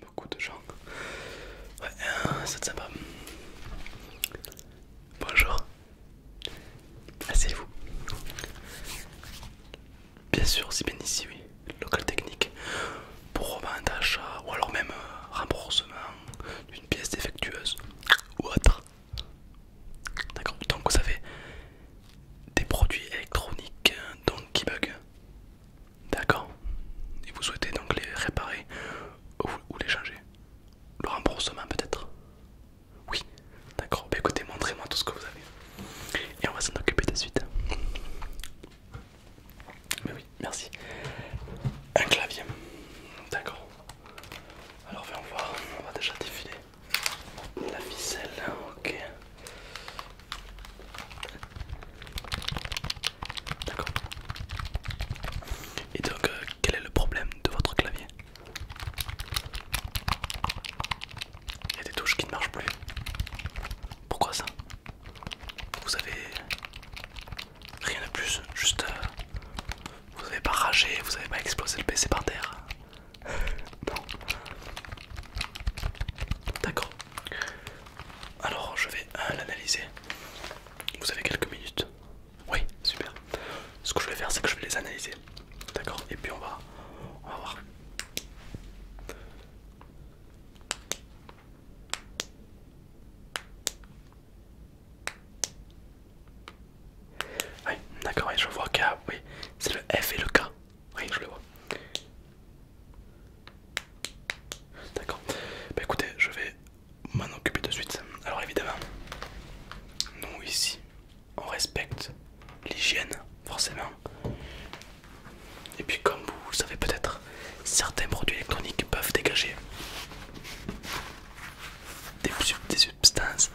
Beaucoup de gens. Ouais, c'est sympa. Bonjour. Asseyez-vous. Bien sûr, c'est bien ici, oui. Local technique pour revente, achat ou alors même remboursement d'une pièce défectueuse ou autre. D'accord, donc vous avez des produits électroniques donc qui bug. D'accord, et vous souhaitez donc les réparer ou, les changer. Le remboursement peut-être Oui, d'accord, bah, écoutez, montrez-moi tout ce que vous avez et on va s'en occuper de suite. Mais oui, merci. Un clavier. D'accord. Alors viens voir, on va déjà défiler la ficelle. Hein, ok. D'accord. Et donc, euh, quel est le problème de votre clavier Il y a des touches qui ne marchent plus. Pourquoi ça vous avez rien de plus, juste euh, vous avez pas ragé, vous avez pas explosé le PC par terre. non. D'accord. Alors je vais euh, l'analyser. Vous avez quelques minutes. Oui, super. Ce que je vais faire, c'est que je vais les analyser. D'accord Et puis on va, on va voir. Oui, d'accord, je vois qu'il Oui, c'est le F et le K. Oui, je le vois. D'accord. Bah écoutez, je vais m'en occuper de suite. Alors évidemment, nous ici, on respecte l'hygiène, forcément. Et puis comme vous le savez peut-être, certains produits électroniques peuvent dégager des, substances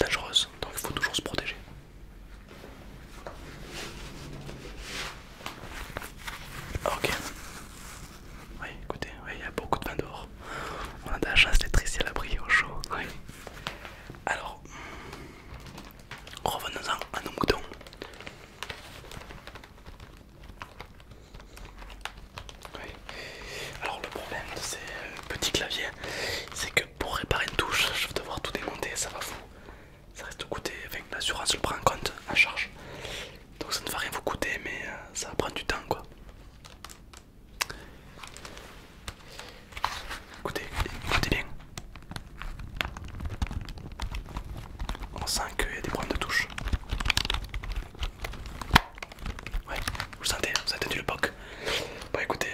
dangereuses, donc il faut toujours se protéger. Ok. Oui, écoutez, il y a beaucoup de vent dehors. On a de la chance d'être ici à l'abri au chaud. Alors, revenons-en à nos moutons. Alors le problème de ces euh, petits claviers, c'est que pour réparer une touche, je vais devoir tout démonter, ça va vous... Ça reste coûter, avec enfin, l'assurance le prend en compte, à charge. Donc ça ne va rien vous coûter, mais euh, ça va prendre du temps quoi. Écoutez, écoutez bien. On sent qu'il y a des problèmes de touche. Ouais, vous le sentez, vous avez tenu le poc. Bon écoutez.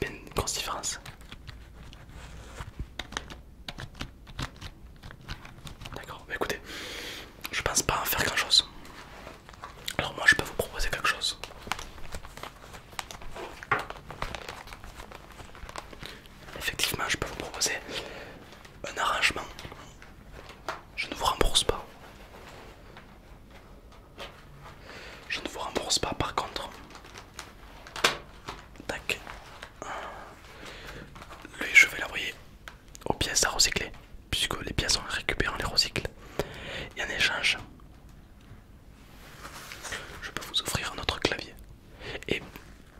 Il y a une, grosse différence. D'accord, bah, écoutez, je pense pas en faire grand chose. Alors, moi je peux vous proposer quelque chose. Effectivement, je peux vous proposer un arrangement. Je ne vous rembourse pas. Je ne vous rembourse pas par contre. Tac. Lui, je vais l'envoyer aux pièces à recycler, puisque les pièces, sont récupérées on les recycle. Et en échange, je peux vous offrir un autre clavier. Et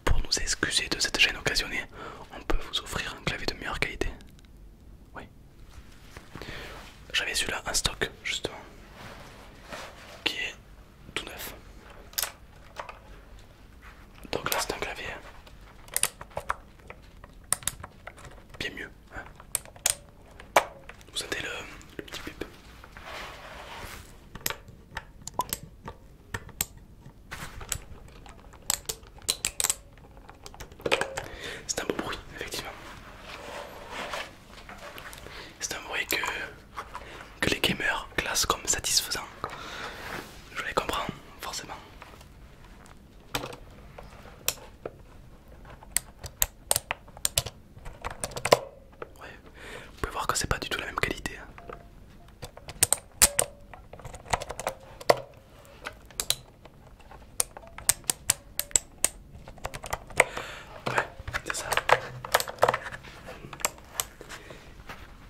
pour nous excuser de cette gêne occasionnée, on peut vous offrir un clavier de meilleure qualité. Oui. J'avais celui-là en stock, justement, qui est tout neuf. Donc là c'est un clavier bien mieux. Hein. Vous sentez le, petit bip c'est un beau bruit, effectivement. C'est un bruit que que les gamers classent comme satisfaisant. Je les comprends, forcément. Vous pouvez voir que c'est pas du tout la même qualité. Hein c'est ça.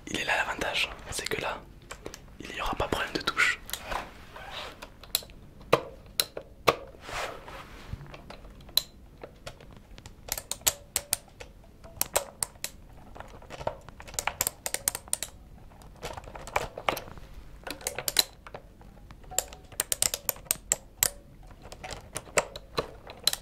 Il est là l'avantage, c'est que là, il n'y aura pas problème de touche vous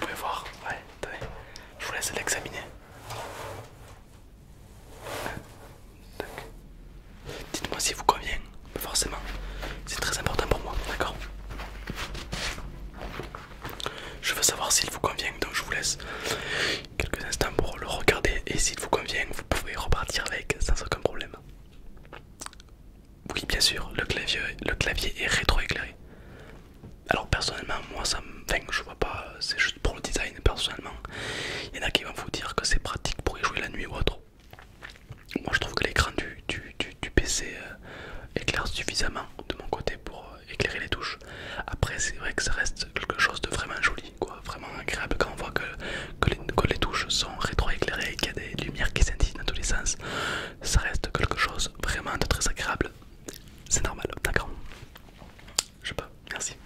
pouvez voir, je vous laisse l'examiner. Dites-moi si vous convient forcément. C'est très important pour moi, d'accord Je veux savoir s'il vous convient, donc je vous laisse quelques instants pour le regarder et s'il vous convient, vous pouvez repartir avec sans aucun problème. Oui, bien sûr, le clavier, le clavier est rétroéclairé. Alors personnellement, moi ça me... Enfin, je vois pas, c'est juste pour le design personnellement. Il y en a qui vont vous dire que c'est pratique pour y jouer la nuit ou autre. Moi je trouve que l'écran du, du, PC euh, éclaire suffisamment de mon côté pour euh, éclairer les touches. Après c'est vrai que ça reste quelque chose de vraiment joli, quoi, vraiment agréable quand on voit que, les, les touches sont rétro-éclairées et qu'il y a des lumières qui scintillent dans tous les sens. Ça reste quelque chose vraiment de très agréable. C'est normal, d'accord Je pas. merci.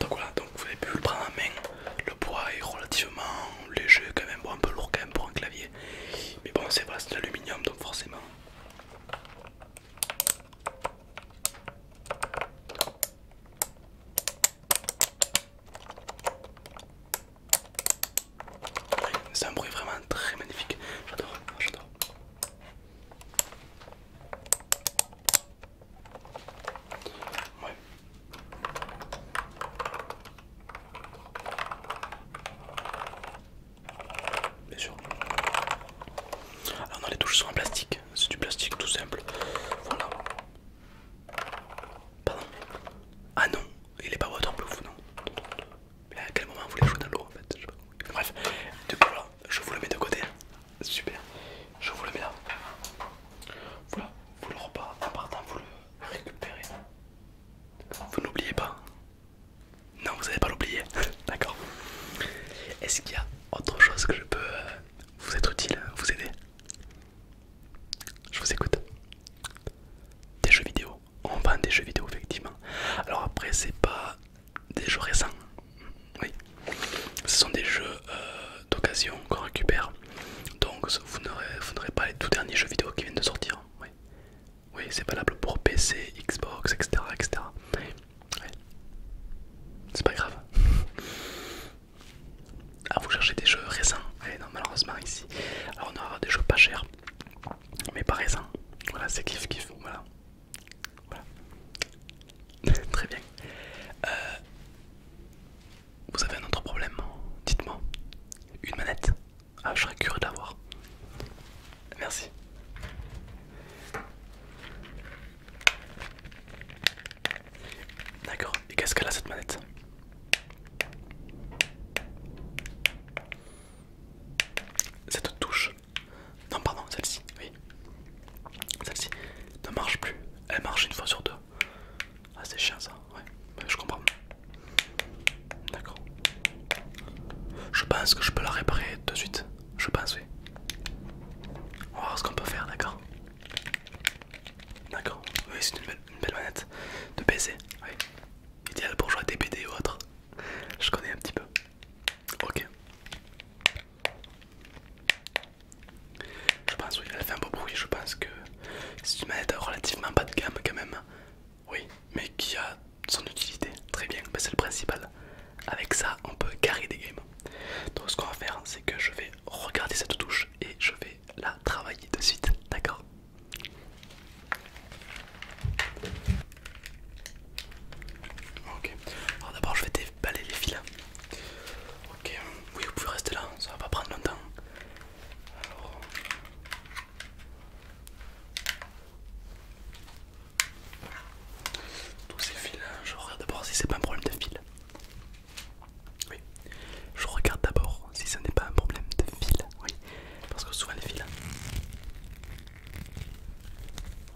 Donc voilà, donc vous avez pu le prendre en main. Le poids est relativement léger quand même, bon, un peu lourd quand même pour un clavier. Mais bon, c'est pas c'est de l'aluminium donc forcément. C'est un bruit vraiment très magnifique. J'adore, j'adore. Bien sûr. Alors non, les touches sont en plastique. C'est du plastique tout simple. Voilà. Pardon. Ah non, il est pas waterproof, non. Mais à quel moment vous les jouez dans l'eau en fait Bref, du coup je vous le mets de côté. Super. Je vous le mets là. Voilà, vous le repas, en partant vous le récupérez. Vous n'oubliez pas Non, vous n'allez pas l'oublier. D'accord. Est-ce qu'il y a autre chose que je peux euh, vous être utile, euh, vous aider Je vous écoute. Des jeux vidéo. On vend des jeux vidéo, effectivement. Alors après, c'est pas des jeux récents. Oui. Ce sont des jeux euh, d'occasion qu'on récupère. Donc vous n'aurez pas les tout derniers jeux vidéo qui viennent de sortir. Oui, c'est valable pour PC, Xbox, etc. etc. C'est pas grave. Ah, vous cherchez des jeux récents non, malheureusement, ici. Alors, on aura des jeux pas chers, mais pas récents. Voilà, c'est kiff kiff. Voilà. voilà. Très bien. Euh, vous avez un autre problème Dites-moi. Une manette ah, je serais curieux d'avoir. Merci. D'accord, et qu'est-ce qu'elle a cette manette Cette touche. Non, pardon, celle-ci, oui. Celle-ci ne marche plus. Elle marche une fois sur deux. Ah c'est chiant ça, ouais, bah, je comprends. D'accord. Je pense que je peux la réparer de suite. Je pense oui. On va voir ce qu'on peut faire, d'accord D'accord, oui c'est une, belle manette de PC, oui. Idéal pour jouer à des BD ou autre. Je connais un petit peu. Ok. Je pense oui, elle fait un beau bruit, je pense que c'est une manette relativement bas de gamme quand même. Oui, mais qui a son utilité. Très bien, c'est le principal. Avec ça, on peut carrer des games. Donc ce qu'on va faire, c'est que je vais regarder cette touche et je vais la travailler de suite. D'accord Ok. Alors d'abord, je vais déballer les fils. Ok. Oui, vous pouvez rester là. Ça va pas prendre longtemps. Alors... Tous ces fils, euh, je regarde d'abord si c'est pas un problème de fil. Oui, je regarde d'abord si ce n'est pas un problème de fil. Oui, parce que souvent les fils, hein.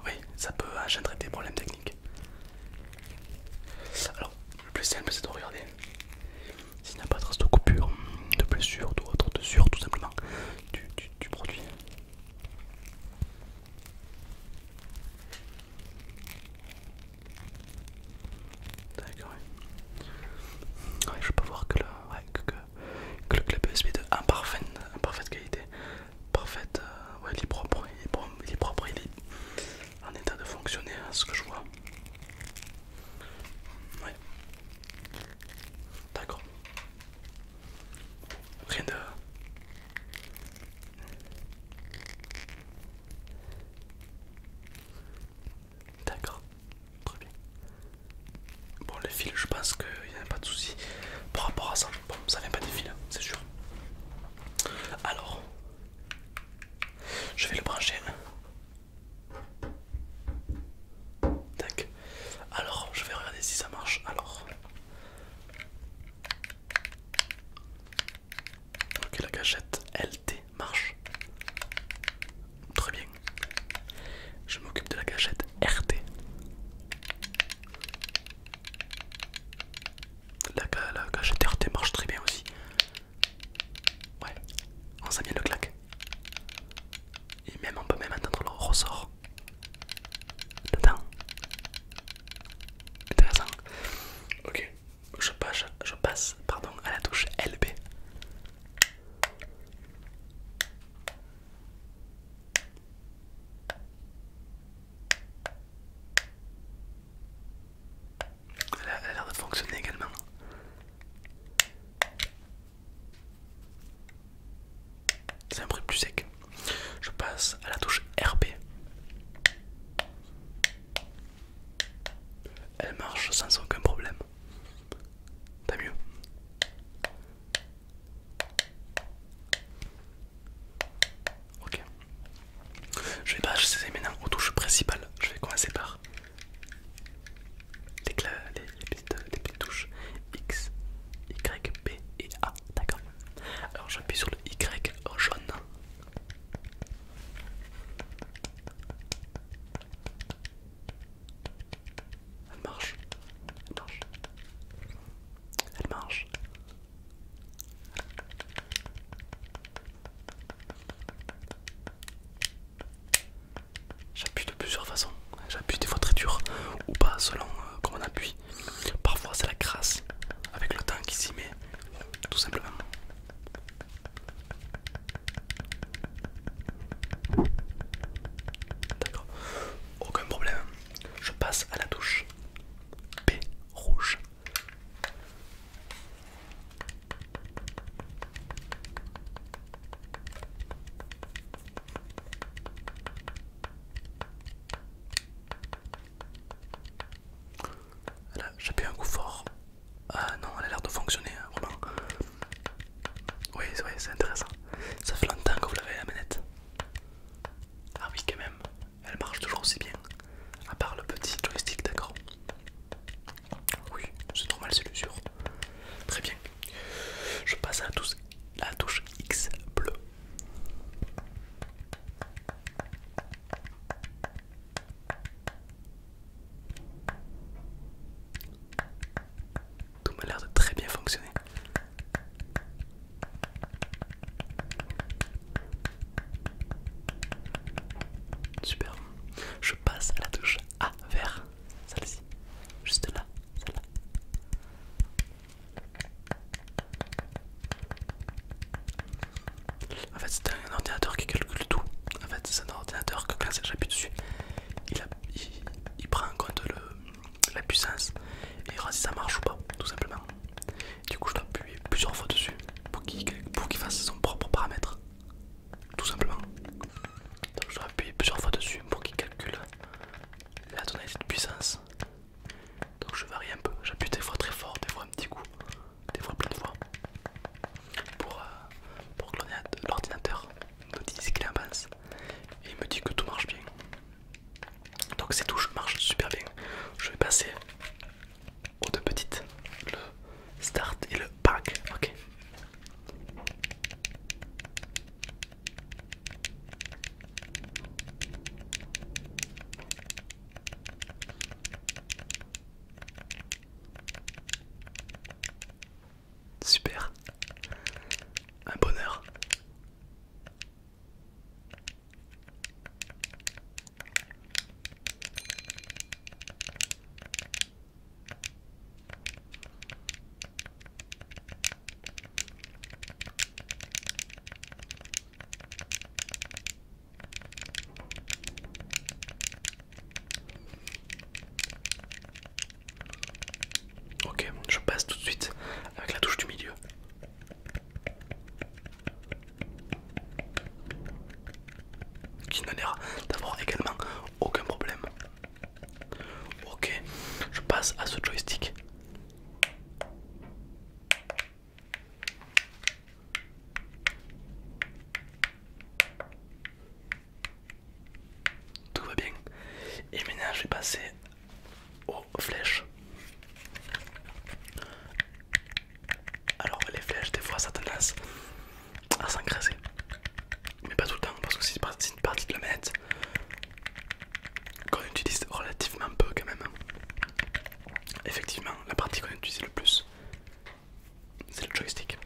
oui, ça peut engendrer des problèmes techniques. Alors, le plus simple c'est de regarder s'il n'y a pas de trace de coupure, de blessure, d'autre, de sur tout simplement du, produit. D'accord, oui. Je peux voir que le, que, le club USB de parfait parfaite qualité, parfaite, euh, il est propre, il est en état de fonctionner, à hein, ce que je vois. D'accord. Rien de... D'accord, très bien. Bon, les fils, je pense qu'il n'y a pas de souci par rapport à ça. Bon, ça vient pas des fil, hein, c'est sûr. Alors, je vais le brancher Tac. Alors, je vais regarder si ça marche. Alors. Ok, la gâchette LT marche. Très bien. Je m'occupe de la gâchette RT. La, la gâchette RT marche très bien aussi. Ouais, on oh, sent bien le claque. Et même on peut même entendre le ressort. Intéressant. Ok, je passe, je passe pardon, à la touche LB. Elle a l'air de fonctionner également. C'est un bruit plus sec. Je passe à la touche RP. Elle marche sans aucun problème. T'as mieux. Ok. Je vais passer maintenant aux touches principales. Je vais commencer par les, les, euh, petites, touches X, Y, B et A, d'accord Alors j'appuie sur le Y jaune. Elle marche, elle marche, elle marche. J'appuie de plusieurs façons. J'appuie des fois très dur ou pas selon euh, comment on appuie. Parfois c'est la crasse avec le temps qui s'y met, tout simplement. D'accord, aucun problème. Je passe à la touche B rouge. J'ai j'appuie un coup fort. Ah non, elle a l'air de fonctionner, hein, vraiment. Oui, oui c'est intéressant. Ça fait longtemps que vous l'avez la manette. Ah oui, quand même, elle marche toujours aussi bien. À part le petit joystick, d'accord. Oui, c'est normal, c'est l'usure. Très bien. Je passe à la touche, la touche X bleu. Tout me l'air de très bien fonctionner. Super. Je passe à la touche ah, vert, celle-ci, juste là, celle-là. En fait, c'est un ordinateur qui calcule tout. En fait, c'est un ordinateur que quand j'appuie dessus, il, il, prend en compte la puissance et il si ça marche ou pas, tout simplement. Du coup, je l'appuie plusieurs fois dessus pour qu'il fasse son propre paramètre tout simplement. Donc je dois appuyer plusieurs fois dessus pour qu'il calcule la tonalité de puissance. Donc je varie un peu, j'appuie des fois très fort, des fois un petit coup, des fois plein de fois. Pour, euh, pour que l'ordinateur me dise ce qu'il en pense. Et il me dit que tout marche bien. Donc ces touches marchent super bien. Je vais passer aux deux petites, le start et le pack. Ok. Super, un bonheur. Ok, je passe tout de suite avec la touche du milieu. Qui nous l'air d'avoir également aucun problème. Ok, je passe à ce joystick. Tout va bien. Et maintenant je vais passer aux flèches. Alors les flèches des fois ça lasse à ah, s'engraisser. Mais pas tout le temps, parce que c'est une partie de la manette qu'on utilise relativement peu quand même. Effectivement, la partie qu'on utilise le plus, c'est le joystick.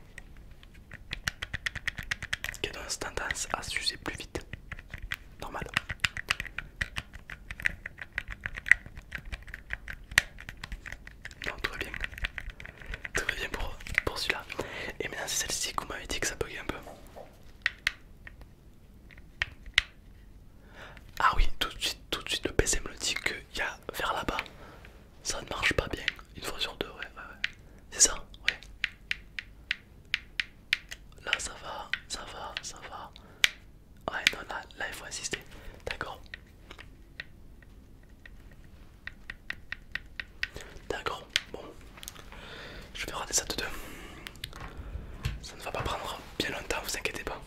qui a tendance à s'user plus vite. Normal. Non, tout va bien. Très bien pour, celui-là. Et maintenant, c'est celle-ci qu'on m'avait dit que ça buguait un peu. Ah oui, tout de suite, tout de suite le PC me le dit qu'il y a vers là-bas. Ça ne marche pas bien, une fois sur deux, ouais, ouais, ouais. C'est ça, ouais. Là ça va, ça va, ça va. Ouais, non, là, là il faut insister. D'accord D'accord, bon, je vais rater ça de deux. Ça ne va pas prendre bien longtemps, vous inquiétez pas.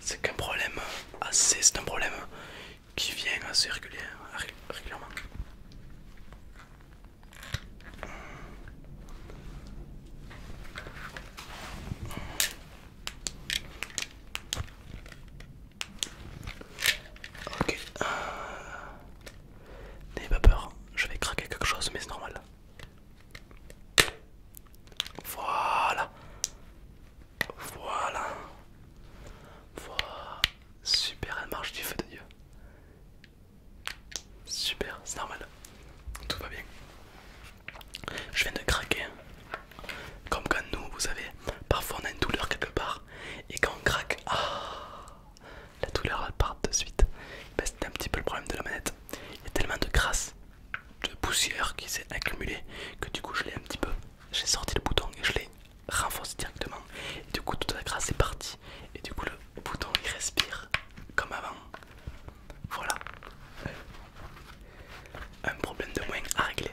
C'est qu'un problème assez, c'est un problème qui vient assez régulièrement. Ok. Euh, n'ayez pas peur, je vais craquer quelque chose, mais c'est normal. Voilà. Voilà. Voilà. Super, elle marche du feu de Dieu. Super, c'est normal. Tout va bien. Je viens de craquer. Comme quand nous, vous savez, Parfois on a une douleur quelque part et quand on craque, ah, la douleur part de suite. Ben, C'est un petit peu le problème de la manette. Il y a tellement de grâce de poussière qui s'est accumulée que du coup je l'ai un petit peu. J'ai sorti le bouton et je l'ai renforcé directement. Et du coup toute la grâce est partie. Et du coup le bouton il respire comme avant. Voilà. Un problème de moins à régler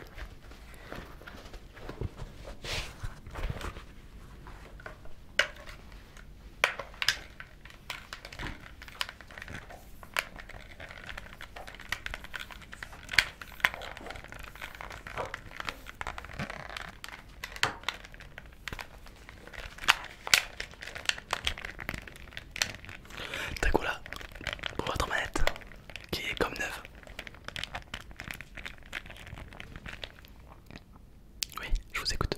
là, pour votre manette qui est comme neuve oui, je vous écoute.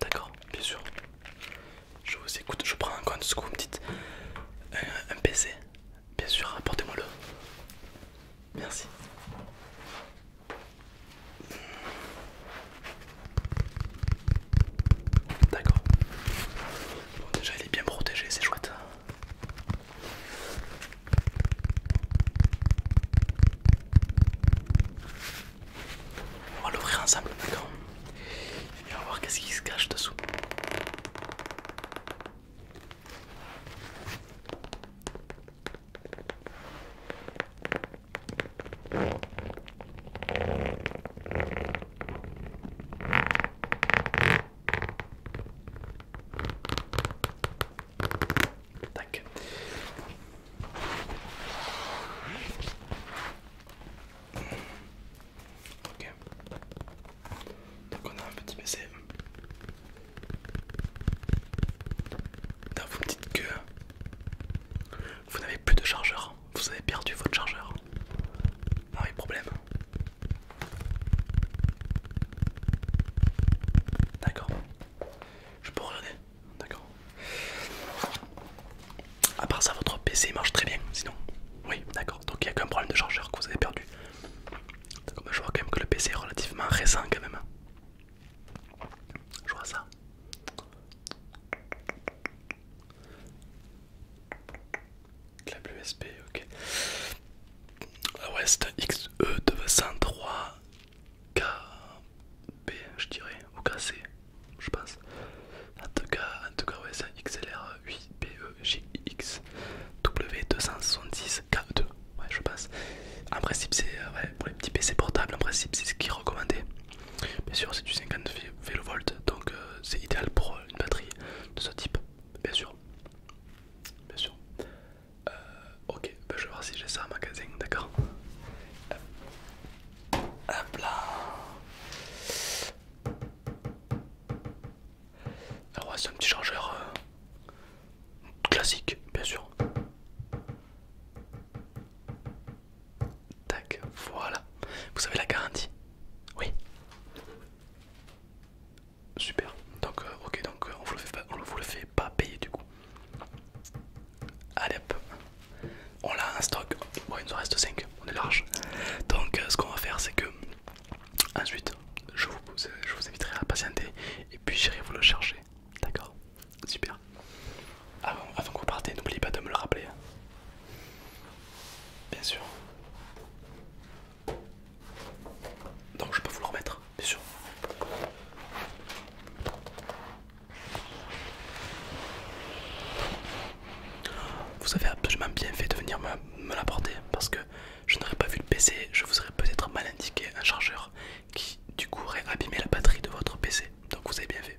D'accord, bien sûr. Je vous écoute, je prends un compte ce que vous me dites. Un, un PC, bien sûr, apportez-moi le. Merci. D'accord. Bon, déjà, il est bien protégé, c'est chouette. On va l'ouvrir ensemble, d'accord Et on va voir qu'est-ce qui se cache dessous. Donc on a un petit baiser. vous petites dites que vous n'avez plus de chargeur. Vous avez perdu votre chargeur. Ah oui, problème. D'accord. Je peux regarder D'accord. À part ça, votre PC marche très bien, sinon. Oui, d'accord. Donc il n'y a qu'un problème de chargeur que vous avez perdu. D'accord, mais je vois quand même que le PC est relativement récent quand même. Je vois ça. Clap USB, ok. c'est xe 203 kb je dirais, ou KC, je pense. En tout cas, en tout cas ouais, c'est un xlr 8 pegxw 270 k 2 e, ouais, je pense. En principe, c'est euh, pour les petits PC portables, en principe, c'est ce qui est recommandé. Bien sûr, c'est du 50 V donc euh, c'est idéal pour une batterie de ce type, bien sûr. Bien sûr. Euh, ok, ben, je vais voir si j'ai ça en magasin, d'accord Hop là Alors ah ouais, c'est un petit chargeur euh, classique, bien sûr. Tac, voilà. Vous avez la garantie Oui. Super. Donc, euh, ok, donc euh, on vous, le fait pas, on vous le fait pas payer du coup. Allez hop. On l'a un stock. Bon, il nous en reste 5. On est large. Donc, euh, ce qu'on va faire, c'est que ensuite, je vous, je vous inviterai à patienter et puis j'irai vous le chercher. D'accord Super. avant que vous partez, n'oubliez pas de me le rappeler. Hein. Bien sûr. Donc je peux vous le remettre, bien sûr. Vous avez absolument bien fait de venir me, l'apporter parce que je n'aurais pas vu le PC, je vous aurais peut-être mal indiqué un chargeur qui du coup aurait abîmé la batterie de votre PC. Donc vous avez bien fait.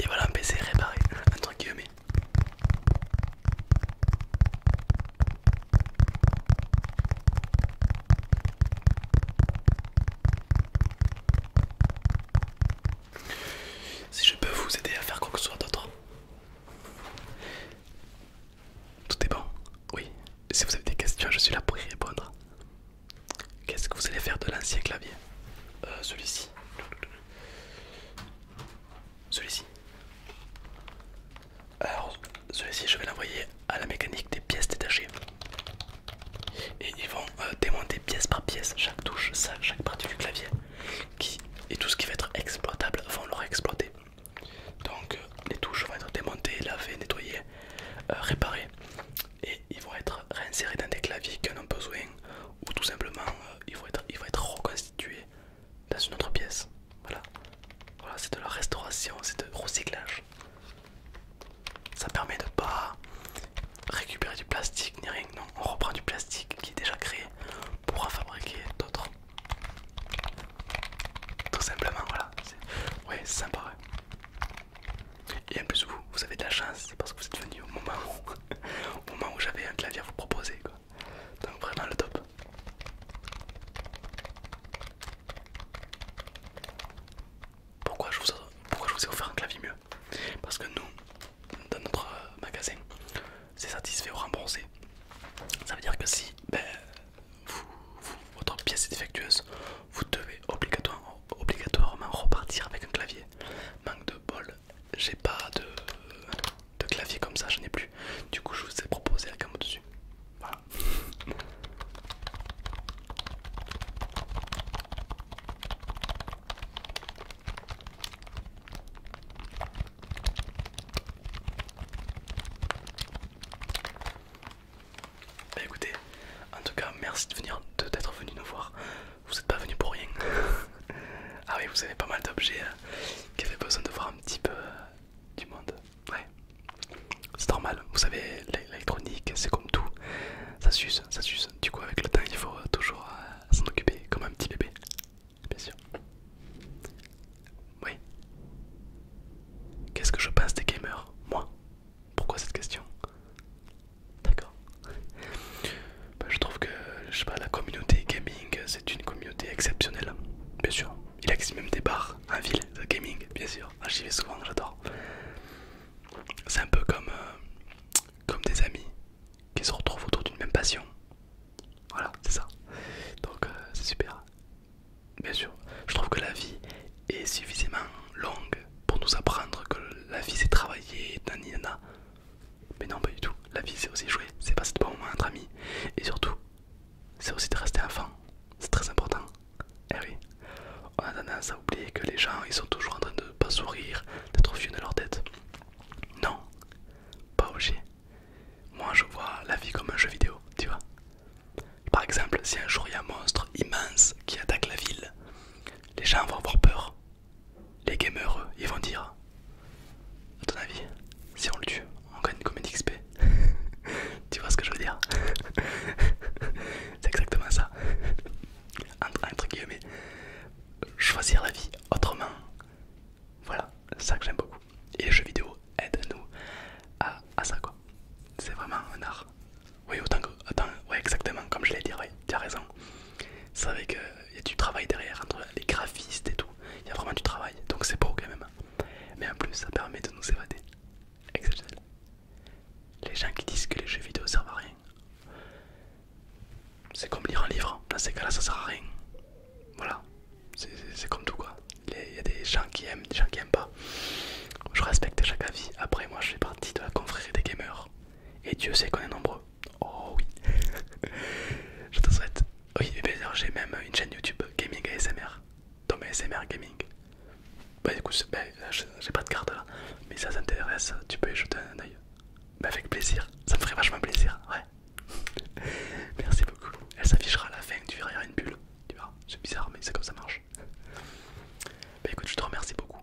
Et voilà un PC réparé, entre guillemets. Si je peux vous aider à faire quoi que ce soit d'autre, tout est bon Oui. Si vous avez des questions, je suis là pour y répondre. Qu'est-ce que vous allez faire de l'ancien clavier euh, Celui-ci. Celui-ci. Alors, celui-ci, je vais l'envoyer à la mécanique des pièces détachées. Et ils vont euh, démonter pièce par pièce chaque touche, ça, chaque partie du clavier et tout ce qui va être exploitable vont leur exploiter. Donc euh, les touches vont être démontées, lavées, nettoyées, euh, réparées et ils vont être réinsérés dans des claviers qu'on a besoin ou tout simplement euh, ils, vont être, ils vont être reconstitués dans une autre pièce. Voilà, voilà c'est de la restauration, c'est de recyclage. Ça permet de pas récupérer du plastique ni rien, non, on reprend du plastique qui est déjà créé pour en fabriquer d'autres. Tout simplement, voilà. Ouais, c'est sympa. Et en plus, vous, vous avez de la chance parce que vous êtes venu au moment où, au moment où j'avais un clavier à vous proposer. Quoi. Donc, vraiment le top. Pourquoi je vous, pourquoi je vous ai offert un clavier mieux parce que nous, dans notre magasin, c'est satisfait ou remboursé. Ça veut dire que si ben, votre pièce est défectueuse, vous devez obligatoirement, repartir avec un clavier. Manque de bol, j'ai pas de, clavier comme ça, je n'ai plus. Du coup, je vous ai proposé la un au-dessus. Voilà. Bah écoutez, en tout cas merci de venir d'être venu nous voir. Vous n'êtes pas venu pour rien. ah oui, vous avez pas mal d'objets euh, qui avaient besoin de voir un petit peu euh, du monde. Ouais. C'est normal, vous savez, l'électronique c'est comme tout. Ça s'use, ça s'use. Du coup avec le temps il faut toujours euh, s'en occuper comme un petit bébé bien sûr. Oui. Qu'est-ce que je pense des gamers Moi Pourquoi cette question D'accord. Ben, je trouve que je sais pas, la communauté gaming, c'est une communauté exceptionnelle. Bien sûr. Il existe même des bars en ville de gaming, bien sûr. J'y vais souvent, j'adore. C'est un peu comme, euh, comme des amis qui se retrouvent autour d'une même passion. Voilà, c'est ça. Donc euh, c'est super. Bien sûr, je trouve que la vie est suffisamment longue pour nous apprendre que la vie c'est travailler, naninana. Mais non, pas du tout. La vie c'est aussi jouer, c'est passer de bons moments entre amis. Et surtout, c'est aussi de rester enfant. C'est très important. Eh oui, on a tendance à oublier que les gens ils sont toujours en train de pas sourire, d'être fou de leur tête. Non, pas obligé. Moi je vois la vie comme un jeu vidéo, tu vois. Par exemple, si un jour il y a un monstre immense qui attaque la ville, les gens vont avoir peur. Les gamers, ils vont dire à ton avis, si on le tue, on gagne comme une XP. Tu vois ce que je veux dire C'est exactement ça. entre guillemets choisir la vie autrement. Voilà, ça que j'aime beaucoup. Et les jeux vidéo aident nous à, ça quoi. C'est vraiment un art. Oui, autant que. exactement, comme je l'ai dit, tu as raison. C'est vrai il y a du travail derrière, entre les graphistes et tout. Il y a vraiment du travail, donc c'est beau quand même. Mais en plus, ça permet de nous évader. Les gens qui disent que les jeux vidéo servent à rien, c'est comme lire un livre, dans ces cas-là ça sert à rien. Voilà, c'est comme tout quoi. Il y a des gens qui aiment, des gens qui aiment pas. Je respecte chaque avis. Après, moi je fais partie de la confrérie des gamers. Et Dieu sait qu'on est nombreux. Oh oui. je te souhaite. Oui, d'ailleurs j'ai même une chaîne YouTube Gaming ASMR. Dans ASMR Gaming. Bah du coup, bah, j'ai pas de carte là. Mais ça t'intéresse, tu peux y jeter un oeil. Mais avec plaisir, ça me ferait vachement plaisir, ouais. Merci beaucoup. Elle s'affichera à la fin tu verras, il y a une bulle. Tu vois, c'est bizarre, mais c'est comme ça marche. Bah écoute, je te remercie beaucoup.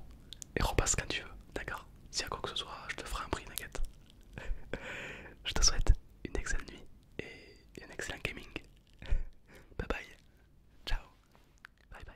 Et repasse quand tu veux, d'accord S'il y a quoi que ce soit, je te ferai un prix, n'inquiète. je te souhaite une excellente nuit et un excellent gaming. Bye bye. Ciao. Bye bye.